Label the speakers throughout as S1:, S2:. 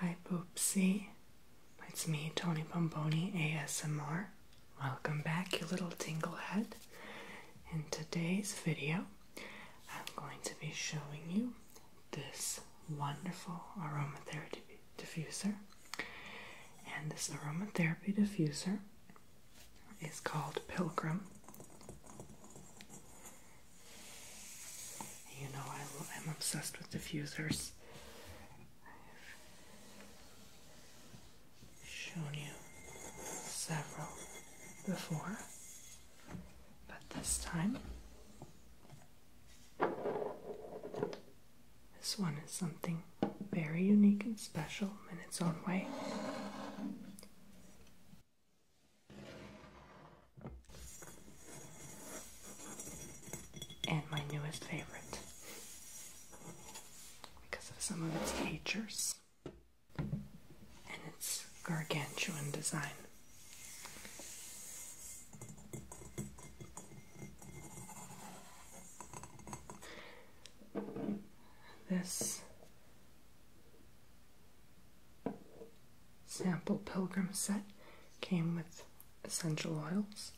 S1: Hi Poopsie, it's me Tony Bomboni ASMR. Welcome back you little tinglehead. In today's video I'm going to be showing you this wonderful aromatherapy diffuser. And this aromatherapy diffuser is called Pilgrim. You know, I, I'm obsessed with diffusers. I've shown you several before, but this time, this one is something very unique and special in its own way and my newest favorite because of some of its features and its gargantuan design. This sample pilgrim set came with essential oils,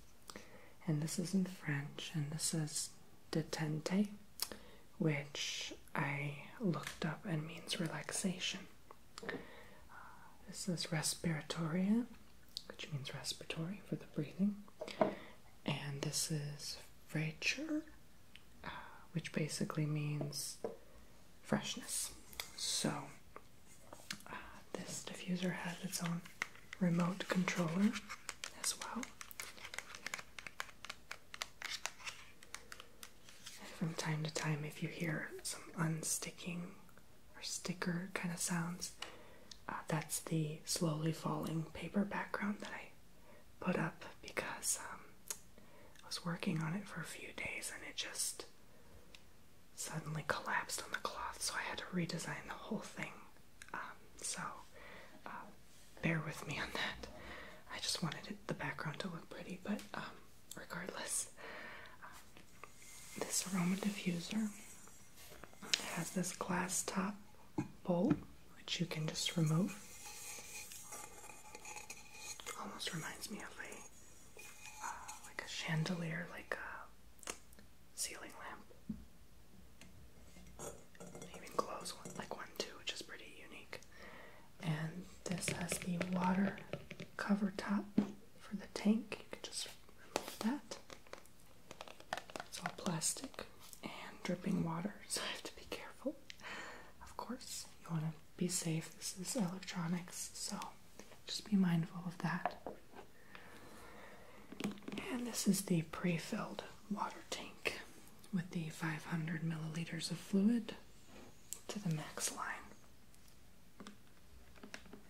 S1: and this is in French, and this is detente, which I looked up and means relaxation. Uh, this is respiratoria, which means respiratory for the breathing, and this is frature, uh, which basically means freshness. So, uh, this diffuser has its own remote controller as well. from time to time, if you hear some unsticking or sticker kind of sounds, uh, that's the slowly falling paper background that I put up because um, I was working on it for a few days and it just suddenly collapsed on the cloth, so I had to redesign the whole thing. Um, so uh, bear with me on that. I just wanted the background to look pretty, but um, regardless, um, this aroma diffuser has this glass top bowl, which you can just remove. Almost reminds me of a uh, like a chandelier, like a ceiling lamp. even glows one, like one too, which is pretty unique. And this has the water cover top for the tank. You can just remove that. It's all plastic and dripping water, so I have to be careful. Of course, you want to be safe. This is electronics, so just be mindful of that. And this is the pre filled water tank with the 500 milliliters of fluid to the max line,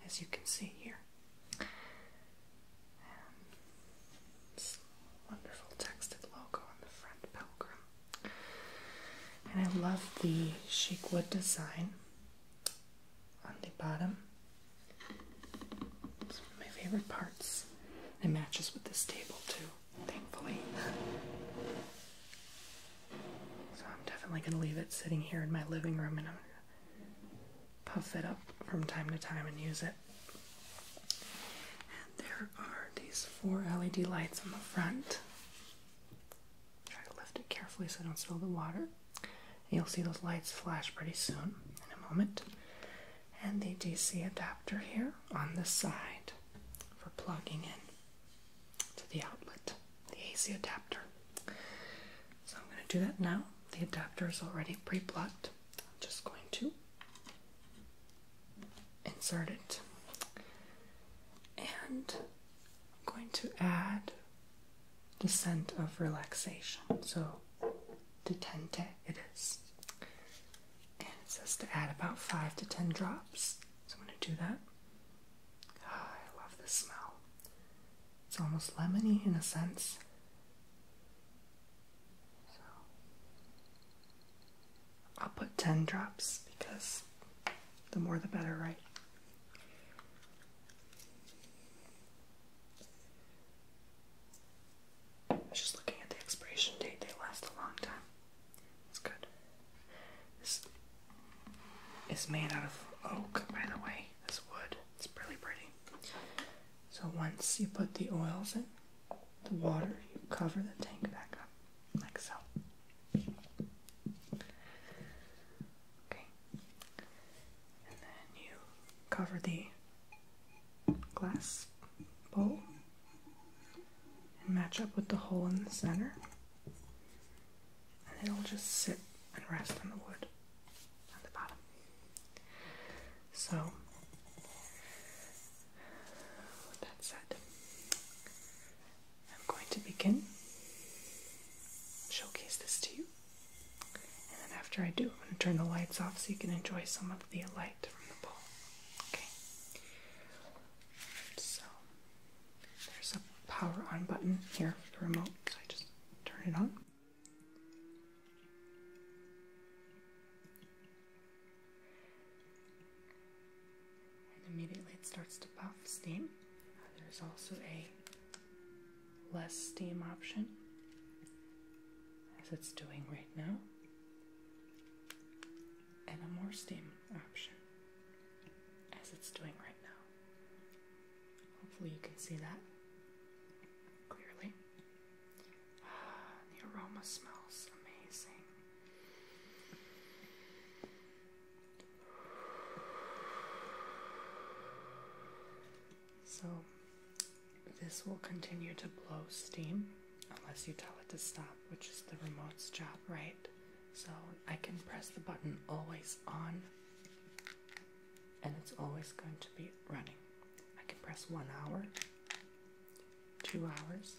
S1: as you can see here. wonderful texted logo on the front, Pilgrim. And I love the chic wood design on the bottom. It's one of my favorite parts. It matches with this table too, thankfully. So I'm definitely going to leave it sitting here in my living room and I'm going to puff it up from time to time and use it. And there are these four LED lights on the front. Try to lift it carefully so I don't spill the water. You'll see those lights flash pretty soon in a moment. And the DC adapter here on the side for plugging in to the outlet, the AC adapter. So I'm going to do that now. The adapter is already pre plugged. I'm just going to insert it. And I'm going to add the scent of relaxation. So, detente it is. And it says to add about 5 to 10 drops. So, I'm going to do that. Ah, I love the smell. It's almost lemony in a sense. I'll put 10 drops because the more the better, right? I was just looking at the expiration date, they last a long time. It's good. This is made out of oak, by the way, this wood. It's really pretty. So once you put the oils in, the water, you cover the tank back up like so. Okay, and then you cover the glass bowl and match up with the hole in the center, and it'll just sit and rest on the wood at the bottom. So, with that said, I'm going to begin, showcase this to you, and then after I do, I'm going to turn the lights off so you can enjoy some of the light from the ball. Okay. So there's a power on button here for the remote, so I just turn it on. And immediately it starts to puff steam. Uh, there's also a less steam option, as it's doing right now, and a more steam option, as it's doing right now. Hopefully, you can see that clearly. Ah, the aroma smells amazing. So, this will continue to blow steam unless you tell it to stop, which is the remote's job, right? So, I can press the button always on, and it's always going to be running. I can press one hour, two hours,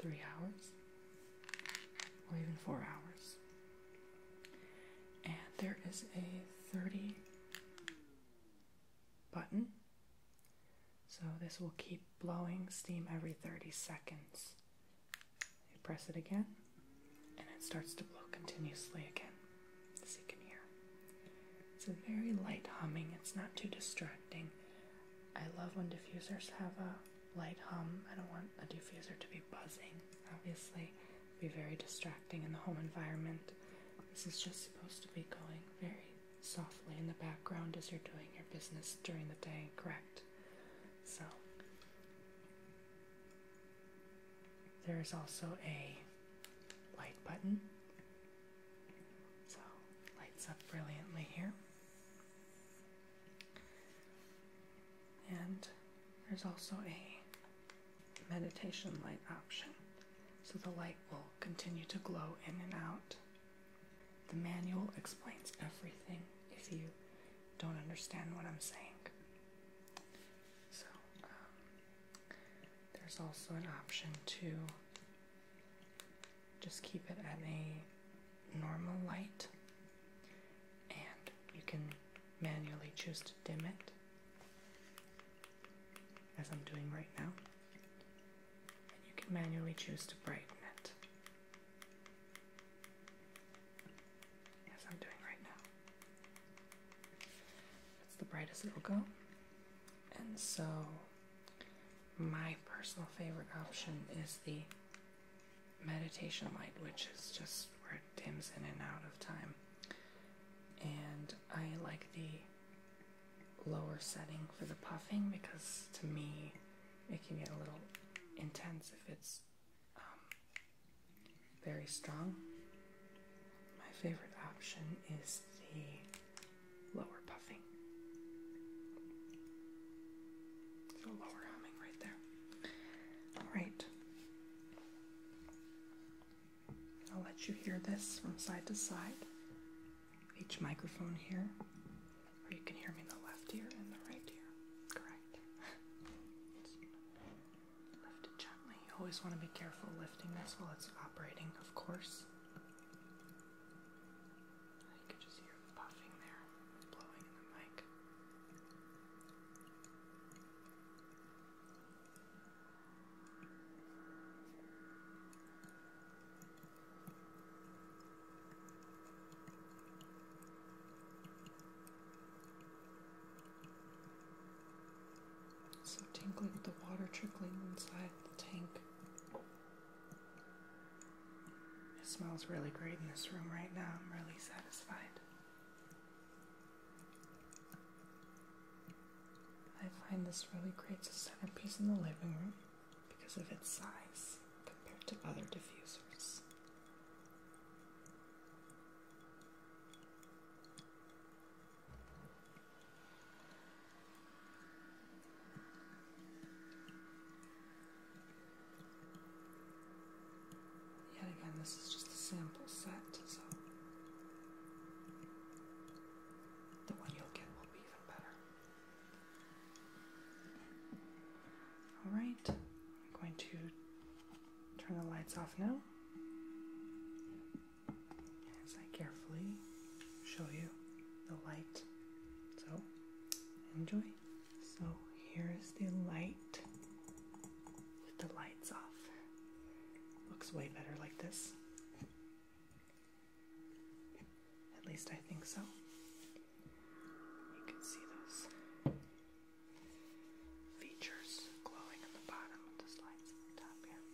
S1: three hours, or even four hours. And there is a 30 button, so this will keep blowing steam every 30 seconds. You press it again, and it starts to blow continuously again, as you can hear. It's a very light humming, it's not too distracting. I love when diffusers have a light hum. I don't want a diffuser to be buzzing, obviously. It'd be very distracting in the home environment. This is just supposed to be going very softly in the background as you're doing your business during the day, correct? So, there is also a light button. So, lights up brilliantly here. And there's also a meditation light option, so the light will continue to glow in and out. The manual explains everything if you don't understand what I'm saying. So, um, there's also an option to just keep it at a normal light and you can manually choose to dim it as I'm doing right now and you can manually choose to brighten it as I'm doing right now that's the brightest it will go and so my personal favorite option is the meditation light, which is just where it dims in and out of time. And I like the lower setting for the puffing because to me it can get a little intense if it's um, very strong. My favorite option is the Lower puffing. So lower humming right there. Alright. I'll let you hear this from side to side. Each microphone here. Or you can hear me in the left ear and the right ear. Correct. Lift it gently. You always want to be careful lifting this while it's operating, of course. You can just hear the puffing there, blowing in the mic. So tinkling with the water trickling inside the tank. It smells really great in this room right now. I'm really satisfied. I find this really great to a piece in the living room because of its size compared to other diffusers. Yet again, this is just a sample set, so the one you'll get will be even better. Alright, I'm going to turn the lights off now as I carefully show you the light so enjoy. So here is the light with the lights off. Looks way better like this. At least I think so. You can see those features glowing on the bottom with the slides on the top here.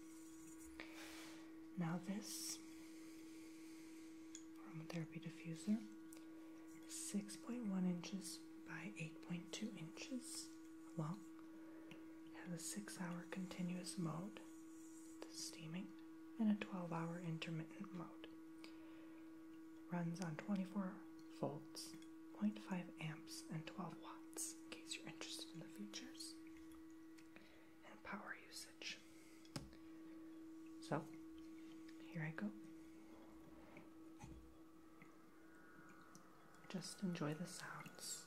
S1: Now this aromatherapy diffuser is 6.1 inches by 8.2 inches long. has a 6 hour continuous mode, the steaming, and a 12 hour intermittent mode. runs on 24 volts, 0.5 amps, and 12 watts in case you're interested in the features and power usage. So, here I go. Just enjoy the sounds.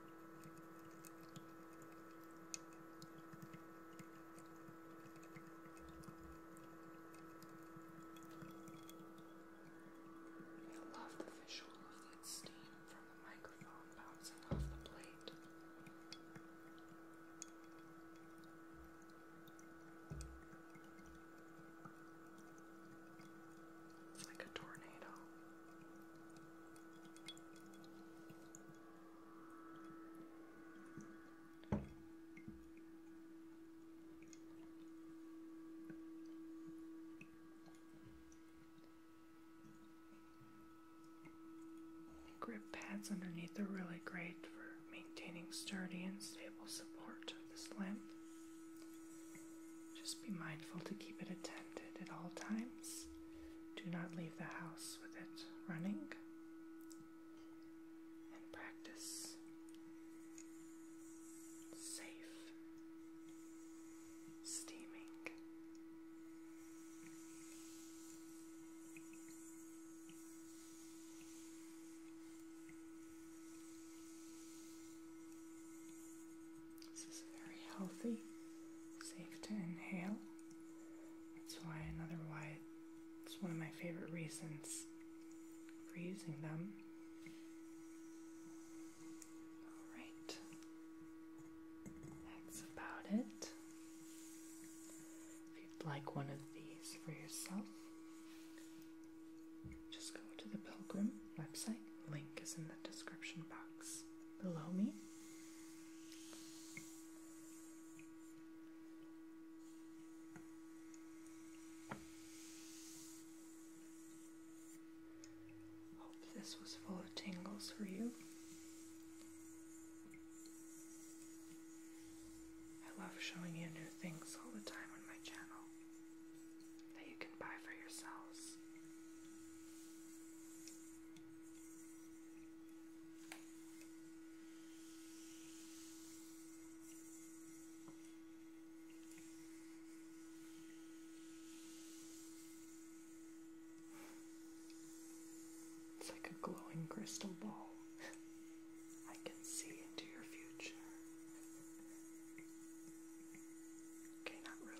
S1: I love the visual of that steam from the microphone bouncing off the plate. It's like a tornado. Grip pads underneath are really great for maintaining sturdy and stable support of this lamp. Just be mindful to keep it at 10 at all times. Do not leave the house with it running. And practice safe steaming. This is very healthy, safe to inhale. That's why another why it's one of my favorite reasons for using them. Alright. That's about it. If you'd like one of these for yourself, just go to the Pilgrim website. Link is in the description box below me. Hope this was full of tingles for you. I love showing you new things all the time on my channel that you can buy for yourselves. It's like a glowing crystal ball. I can see into your future. Okay, not really.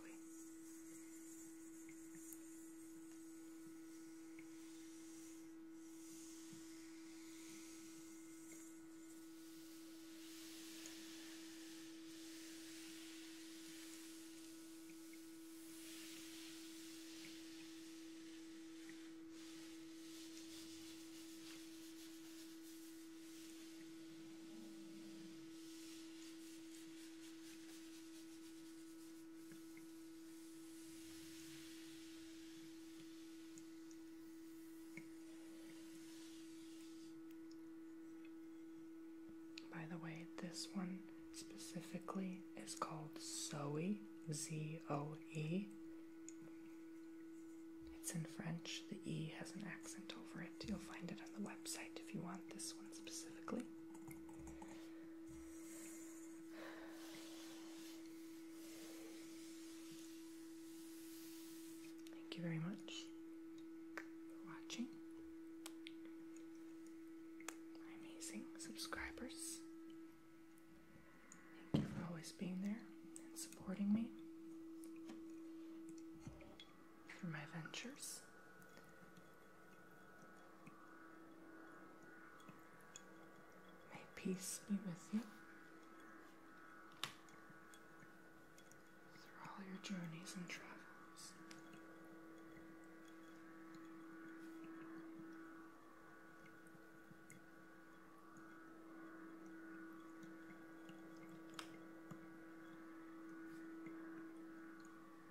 S1: By the way, this one specifically is called Zoe, Z O E. It's in French, the E has an accent over it. You'll find it on the website if you want this one specifically. Thank you very much for watching. amazing subscribers. Thank you for always being there and supporting me through my ventures. May peace be with you through all your journeys and travels.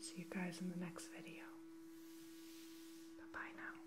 S1: See you guys in the next video. Bye bye now.